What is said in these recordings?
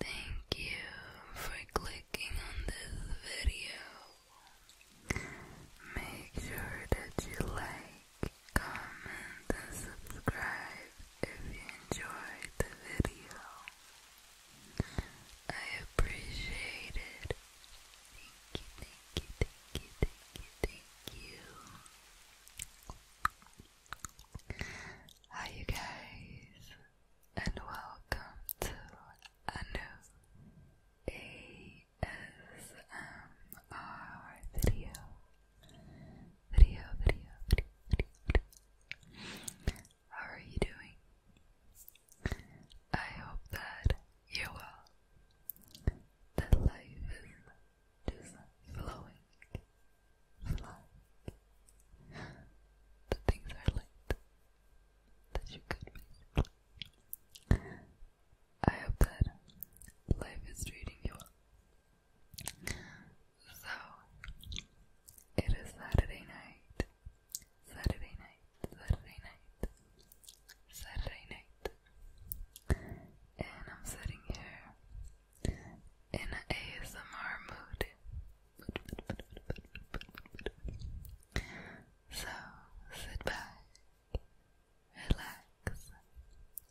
Thank you for clicking on this video. Make sure that you like, comment, and subscribe if you enjoyed the video. I appreciate it. Thank you, thank you, thank you, thank you, thank you. Hi you guys and welcome to a new ASMR video. Video, video, video, How are you doing? I hope that you're well. That life is just flowing the things are linked that you could basically. I hope that life is treating you well. So, it is Saturday night. Saturday night, Saturday night, Saturday night. And I'm sitting here in an ASMR mood. So sit back, relax,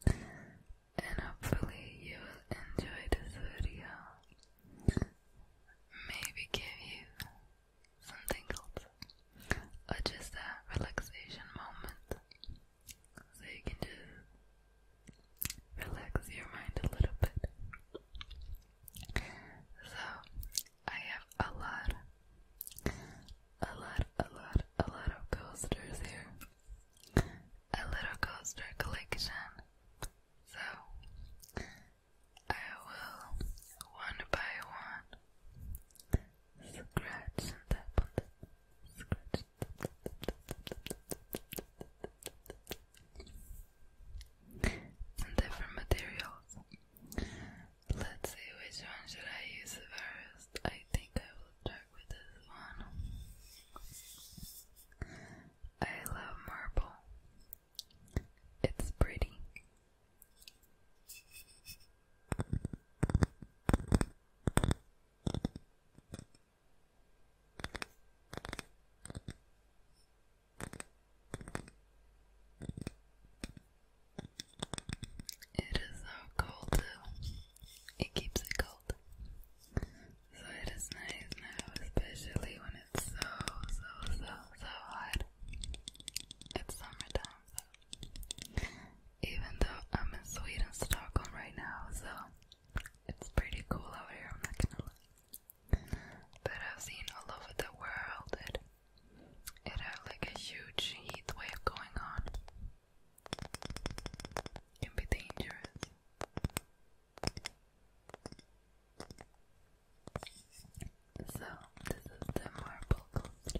and hopefully you will enjoy this video. Maybe give you some tingles or just a relaxation moment. So you can just relax your mind a little bit. So I have a lot, a lot, a lot, a lot of coasters here. A little coaster collection. So I will one by one scratch and tap on different materials. Let's see which one should I use first. I think I will start with this one. I love marble. It's pretty. It is so cold too. It keeps it cold. So it is nice now, especially when it's so, so, so, so hot. It's summertime, even though I'm in Sweden, Stockholm right now, so it's pretty cool out here, I'm not gonna lie. But I've seen all over the world that it had like a huge heat wave going on. It can be dangerous. So the marble coast.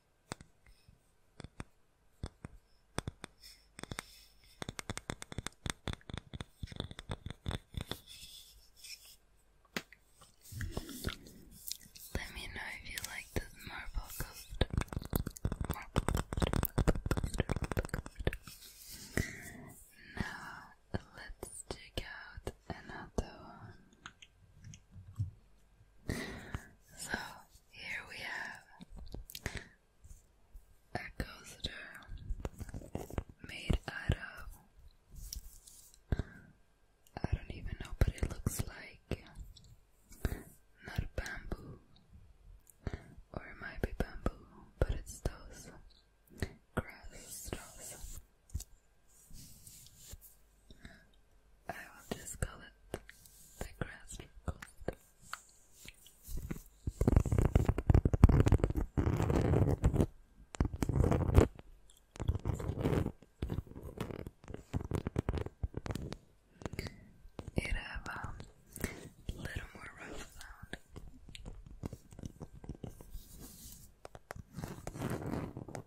Let me know if you like this marble coaster. Now let's check out another one. So here we have a coaster made out of I don't even know, but it looks like not bamboo, or it might be bamboo, but it's those grass stuff. I will just call it the grass coast. It have um, a little more rough sound.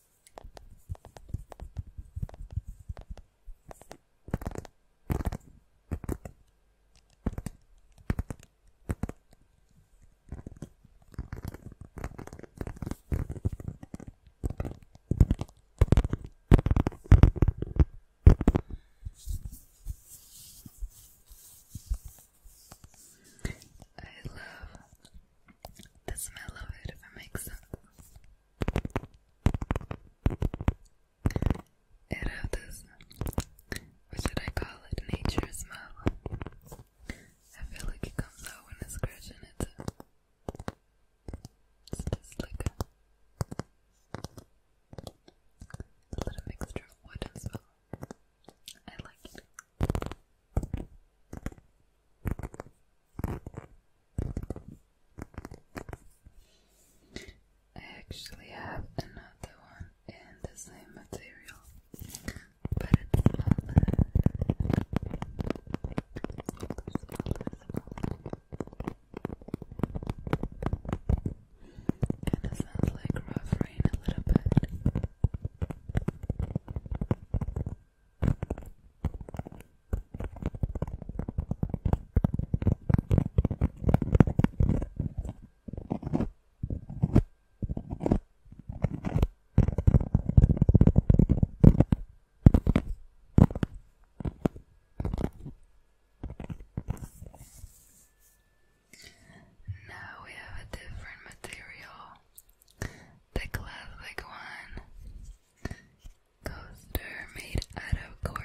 I love the smell of it if it makes sense. It had this, what should I call it, nature smell. I feel like it comes out when it's scratching it. It's just like a, little mixture of wood smell. I like it. I actually have another one in the same material, but it's smaller. Kind of sounds like rough rain a little bit. Now we have a different material the classic one. Coaster made out of cork.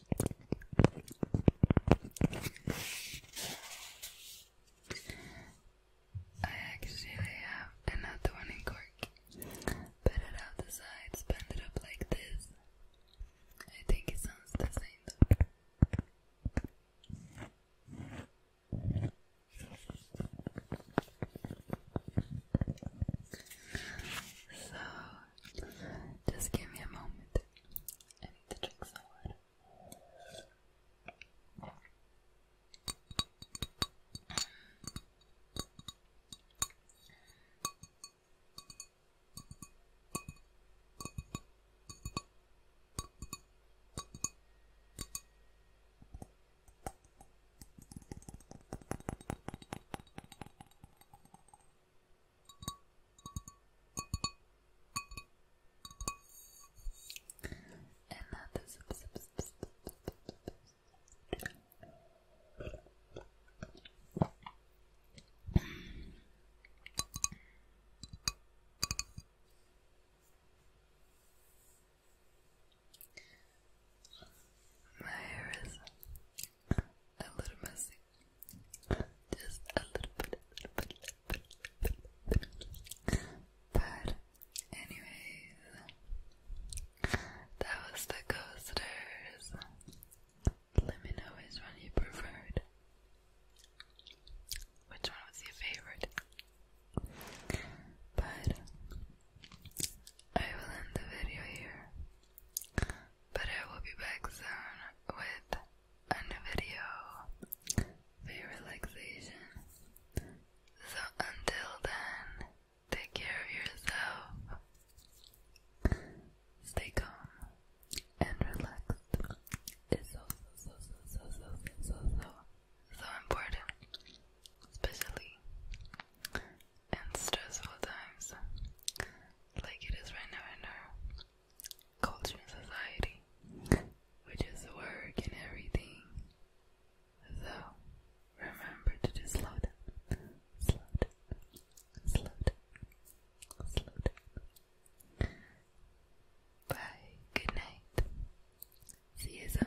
I actually have another one in cork. Put it out the sides, bend it up like this. I think it sounds the same though. So, just give me a moment. I need to drink Another sip, sip, sip, a little messy. Just a little bit, But, anyways, that was the coasters. Let me know which one you preferred. Which one was your favorite? But I will end the video here. But I will be back soon with a new video for relaxation. So until then, take care of yourself. Stay calm and relaxed. It's so, so, so, so, so, so, so, so, so important. Especially and stressful times like it is right now in our culture and society, which is work and everything. So remember to just slow down, slow down, slow down, slow down. Bye, good night. See you soon.